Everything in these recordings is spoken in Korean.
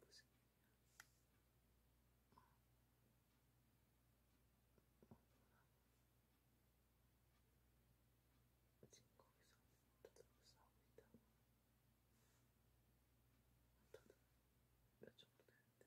무슨 일이야? 어. 어, 지금 거기서 언더들하고 싸우고 있다고 언더들 몇 정도 되는데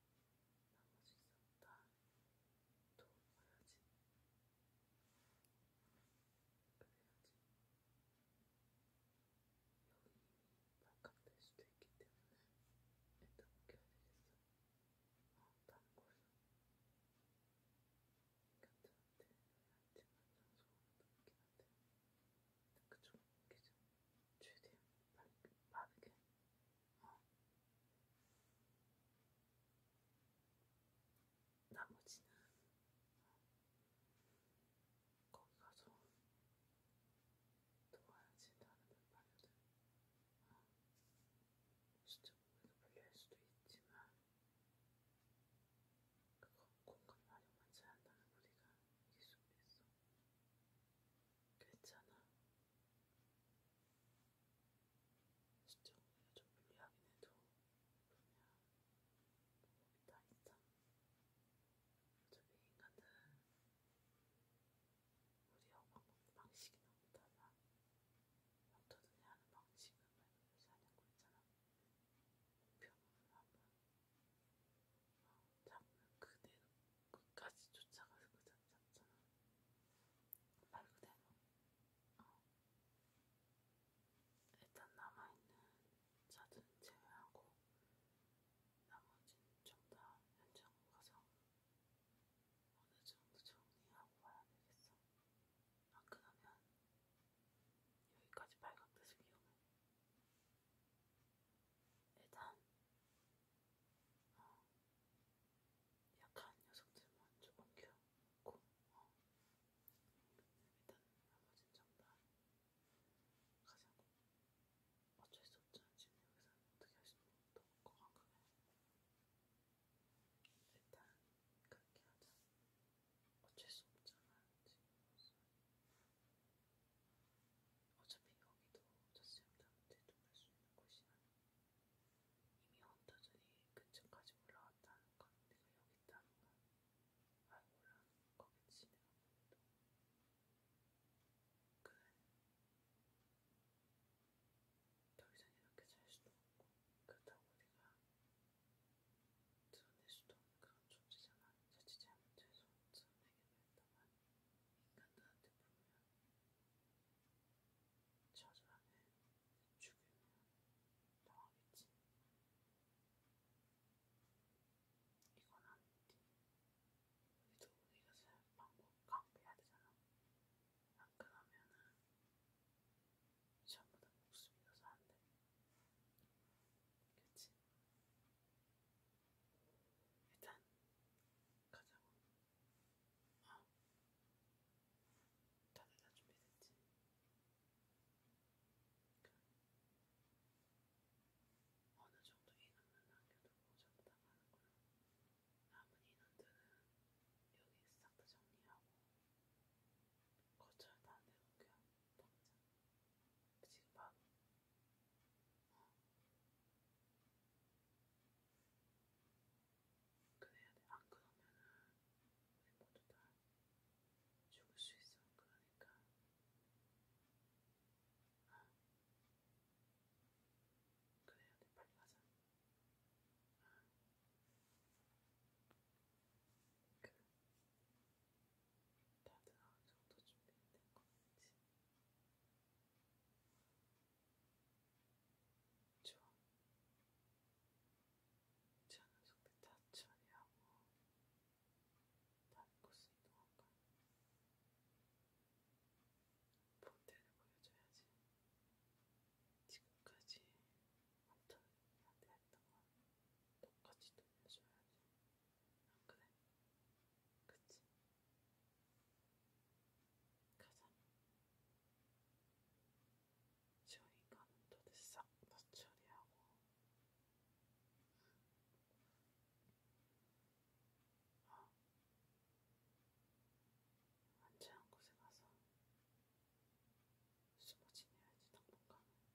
나머지 싹다 도와야지. 그래야지. 여기 이미 발칵될 수도 있기 때문에 일단 껴야 되겠어. 아, 다른 걸로. 괜찮은데, 하지만 장소가 높긴 한데. 그쪽 계속 최대한 빠르게, 빠르게. 어. 나머지는 어. 거기 가서 도와야지 다른 반려들 어. 진짜 몸에서 불리할 수도 있지만 그거 공간 활용만 잘한다면 우리가 이길 수 있어. 괜찮아. 시청을 좀 불리하긴 해도 그냥 다 있다. 어차피 인간들은 우리 엄마 방식이 너무 달라. 어떠든지 하는 방식은 말그대로 사냥고 있잖아. 목표물을 한번 잡으면 그대로 끝까지 쫓아가서 그냥 잡잖아. 말 그대로. 어. 일단 남아있는 자든 제외하고 나머지는 전부 다 현장으로 가서 어느 정도 정리하고 와야 되겠어. 안 아, 그러면 여기까지 발각돼서 위험해. 일단 어, 약한 녀석들만 조금 키워놓고 어, 일단 나머진 정말 가자고 어쩔 수 없잖아 지금 여기서는 어떻게 할 수는 없고 건강하게 일단 그렇게 하자 어쩔 수 없잖아 지금 무슨 어차피 여기도 저쌤 나한테 놀랄 수 있는 곳이 아니고 이미 헌터들이 근처까지 올라왔다는 건 내가 여기 있다는 건 알고 올라오는 거겠지 내가 보기도 그래 더 이상 이렇게 잘 수도 없고 그렇다고 내가 드러낼 수도 없는 그런 존재잖아 자칫 잘못해서 천에게 뱉다만 인간들한테 보면 저자네 죽으면 당하겠지. 이건 아닌데 우리도 우리가 살 방법 강구해야 되잖아. 안 그러면은 전부 다 목숨 잃어서 안 돼. 그치? 일단 가자고. 아, 다들 다 준비됐지? 그래. 어느 정도 인원만 남겨두고 전부 다 가는 걸로. 남은 인원들은 여기 싹 다 정리하고 거처를 다른 데 옮겨. 당장 지금 바로 그래야 돼. 안 그러면은 우리 모두 다 죽을 수 있어. 그러니까 어. 그래야 돼. 빨리 가자. 어. 그래. 다들 어느 아, 정도 준비된 건지 좀 저는 속도 다 처리하고 다른 곳으로 이동할까? 본때를 보여줘야지. 지금까지 엄청 나한테 했던 건 똑같이 돌려줘야지. 안 그래? 그치? 가자. 저 인간은 도대체 싹 다 처리하고. 어. 안전한 곳에 가서 숨어 지내야지 당분간은.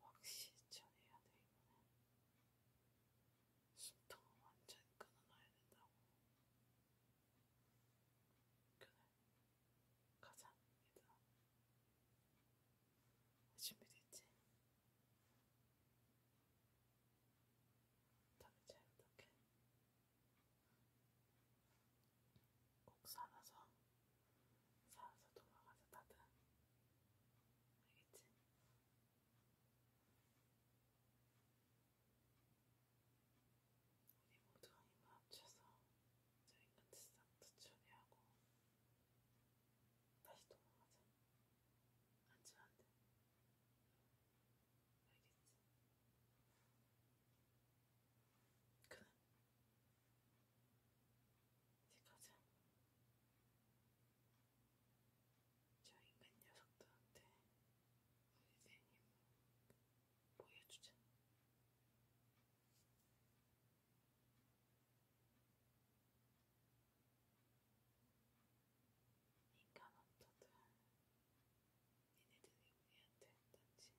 확실히 전해야 돼 이번엔 숨통을 완전히 끊어놔야 된다고 그래 가자 얘들아 준비됐지? 다들 잘 부탁해 꼭 살아서 살아서 돌아가자 다들 알겠지? 우리 모두가 힘을 합쳐서 저 인간 짓상도 처리하고 다시 돌아가자 앉으면 안돼 알겠지? 그래 이제 가자. 저 인간 녀석들한테 우리 대님 보여주자. 인간 헌터들, 니네들이 우리한테 던진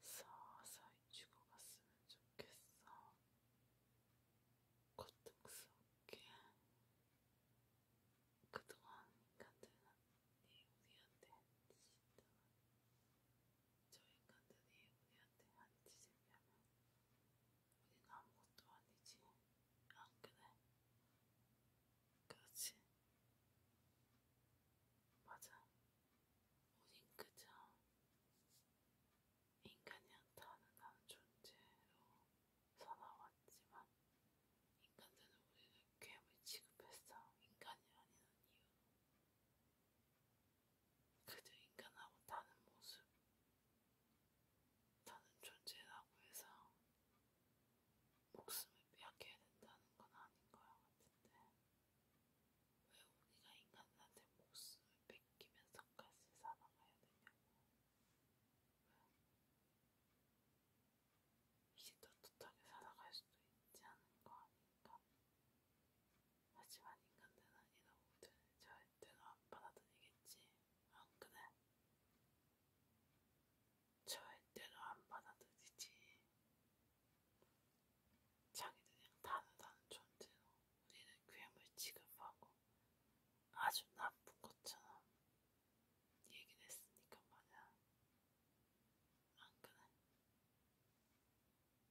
서서히 죽어갔으면 좋겠어. 고통스럽게. 그동안 인간들은 네 우리한테 한짓을 저 인간들이 우리한테 한짓을 하면 우리는 아무것도 아니지. 안 그래? 그렇지? 맞아. 우린 그저 인간이 한타하는 나는 존재로 살아왔지만 인간들은 우리를 괴물 취급했어. 인간이 아니는 이유로. 그저 인간하고 다른 모습, 다른 존재라고 해서 목숨을 빼앗게 된다는 건 아닌 거야 같은데. 왜 우리가 인간한테 목숨을 뺏기면서까지 사랑해야 되냐고. 왜? 이제 떳떳하게 살아갈 수도 있지 않은 거 아닌가? 하지만 인간들은 이런 우들 절대로 안 받아들이겠지. 안 그래? 절대로 안 받아들이지. 자기들은 다르다는 존재로 우리는 괴물 취급하고 아주 나쁜 것처럼 얘기를 했으니까 말이야. 안 그래?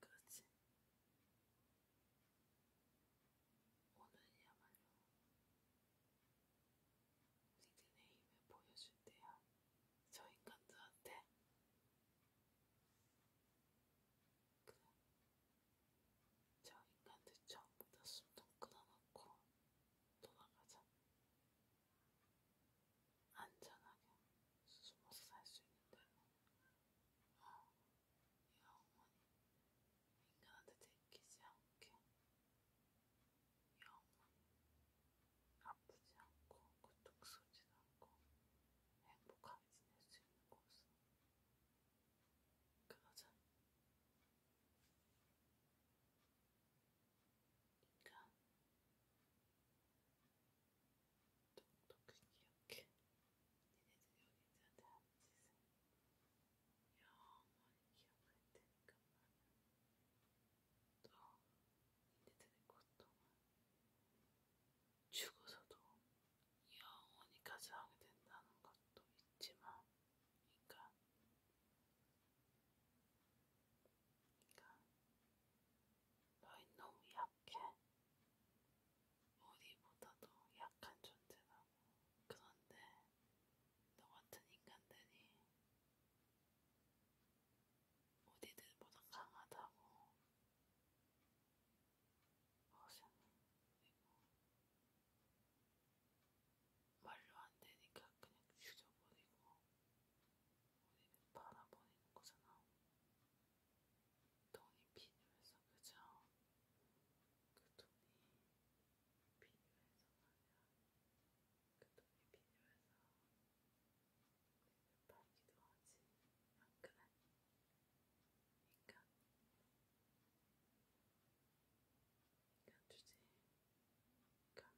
그렇지? 오늘이야말로 니들의 힘을 보여줄 때야. 저 인간들한테 그래 저 인간들 전부 다 숨통 끊어놓고 돌아가자 안전하게 숨어서 살 수 있는 대로 어, 영원히 인간한테 들키지 않게 영혼 아프지 않고 고통 쏘지 않고 행복하게 지낼 수 있는 곳. 그러자 인간 그러니까 똑똑히 기억해. 니네들이 여기한테 하는 짓은 영원히 기억할 테니까 나는 너희들의 고통은 죽어서도 영원히 가져하게 된다는 것도 있지만, 그러니까, 그러니까 너희 너무 약해. 우리보다도 약한 존재라고. 그런데 너 같은 인간들이 어디들보다 강하다고 뭐 하시는 그리고 말로 안 되니까 그냥 죽여버리고 우리는 바라버리는 거잖아. 돈이 필요해서 그죠? 그 돈이 필요해서가 아니라 그 돈이 필요해서 밝기도 하지 안 그래? 인간 인간 주제에 감히 우린 이길 수 있을까 생각해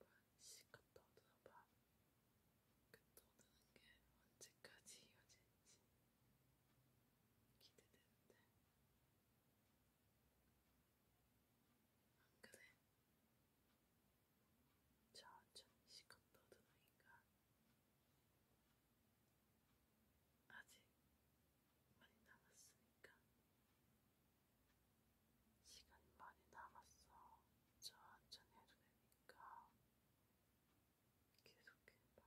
어디 한번 씩 갔다 얻어봐 그 떠드는 게 언제까지 이어질지 기대되는데 안 그래? 천천히 시컷 떠드니까 아직 많이 남았으니까 시간이 많이 남았어. 천천히 해도 되니까 계속해봐. 그러니까 너희들은 정말로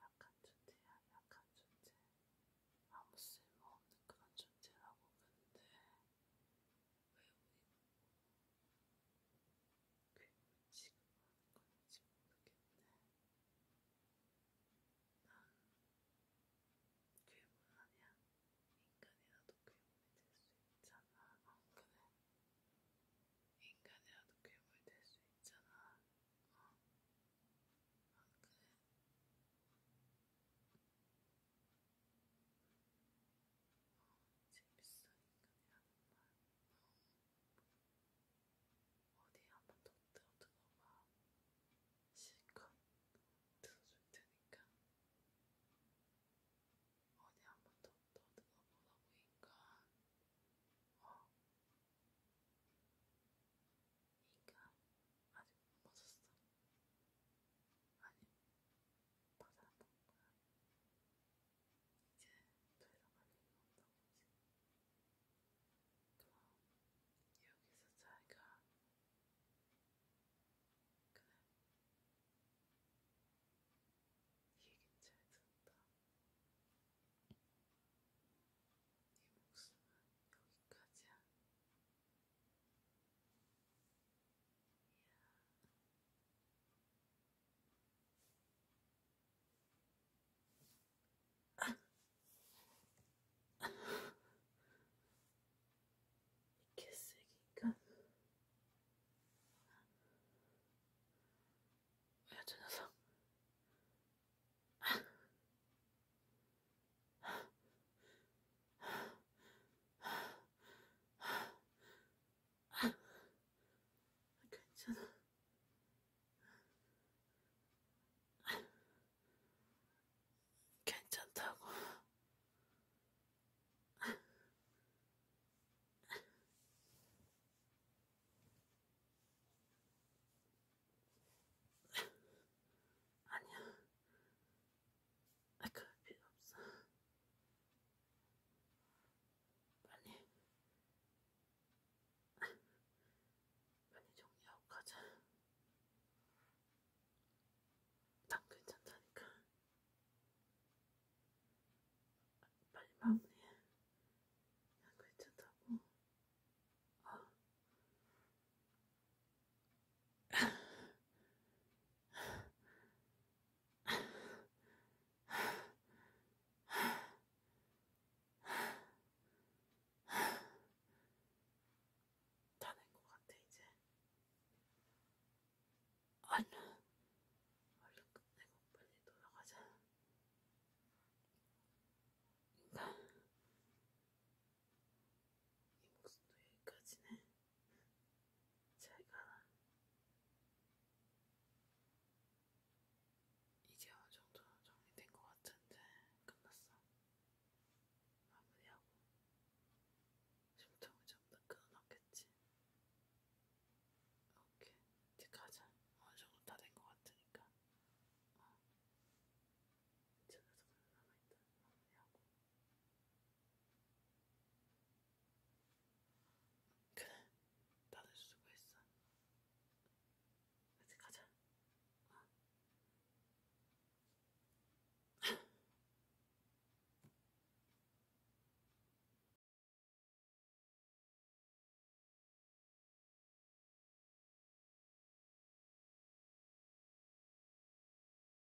약한 존재야, 약한 존재. 아무 쓸모없는 그런 존재라고 그러는데 왜 우리 괴물 취급하는 건지 모르겠네. 난 괴물 아니야. 인간이라도 괴물이 될 수 있잖아. 어, 그래. 인간이라도 괴물이 될 수 있잖아. 어. 아, 그래. 재밌어 인간이라는 네, 말 어디 한번 더 들어봐 실컷 들어줄 테니까 어디 네, 한번 더 들어보라고 인간 어 인간 아직 못 맞았어 아니 맞아 안될 거야 이제 더 이상 할 일은 없다고 이제 그럼 여기서 자기가 그래 얘긴 잘 들었다 네 목숨은 여기까지야 이야 이렇게 쓰기가 왜 아, 저 녀석 괜찮아. 괜찮다고. 아니야. 아, 그럴 필요 없어. 빨리. 빨리 정리하고 가자. 난 괜찮다니까. 빨리 마무리해. 난 괜찮다고. 어. 다낸 것 같아 이제. 얼른 얼른 끝내고 빨리 돌아가자. 인간. 그러니까 이 모습도 여기까지네. 제가 이제 어느 정도 정리된 것 같은데 끝났어. 마무리하고 심통이 좀더 끊었겠지. 오케이 이제 가자. 어느 정도 다 된 것 같으니까. 어. 이제 나도 남아있다. 마무리하고. 그래, 나도 수고했어. 이제 가자. 어.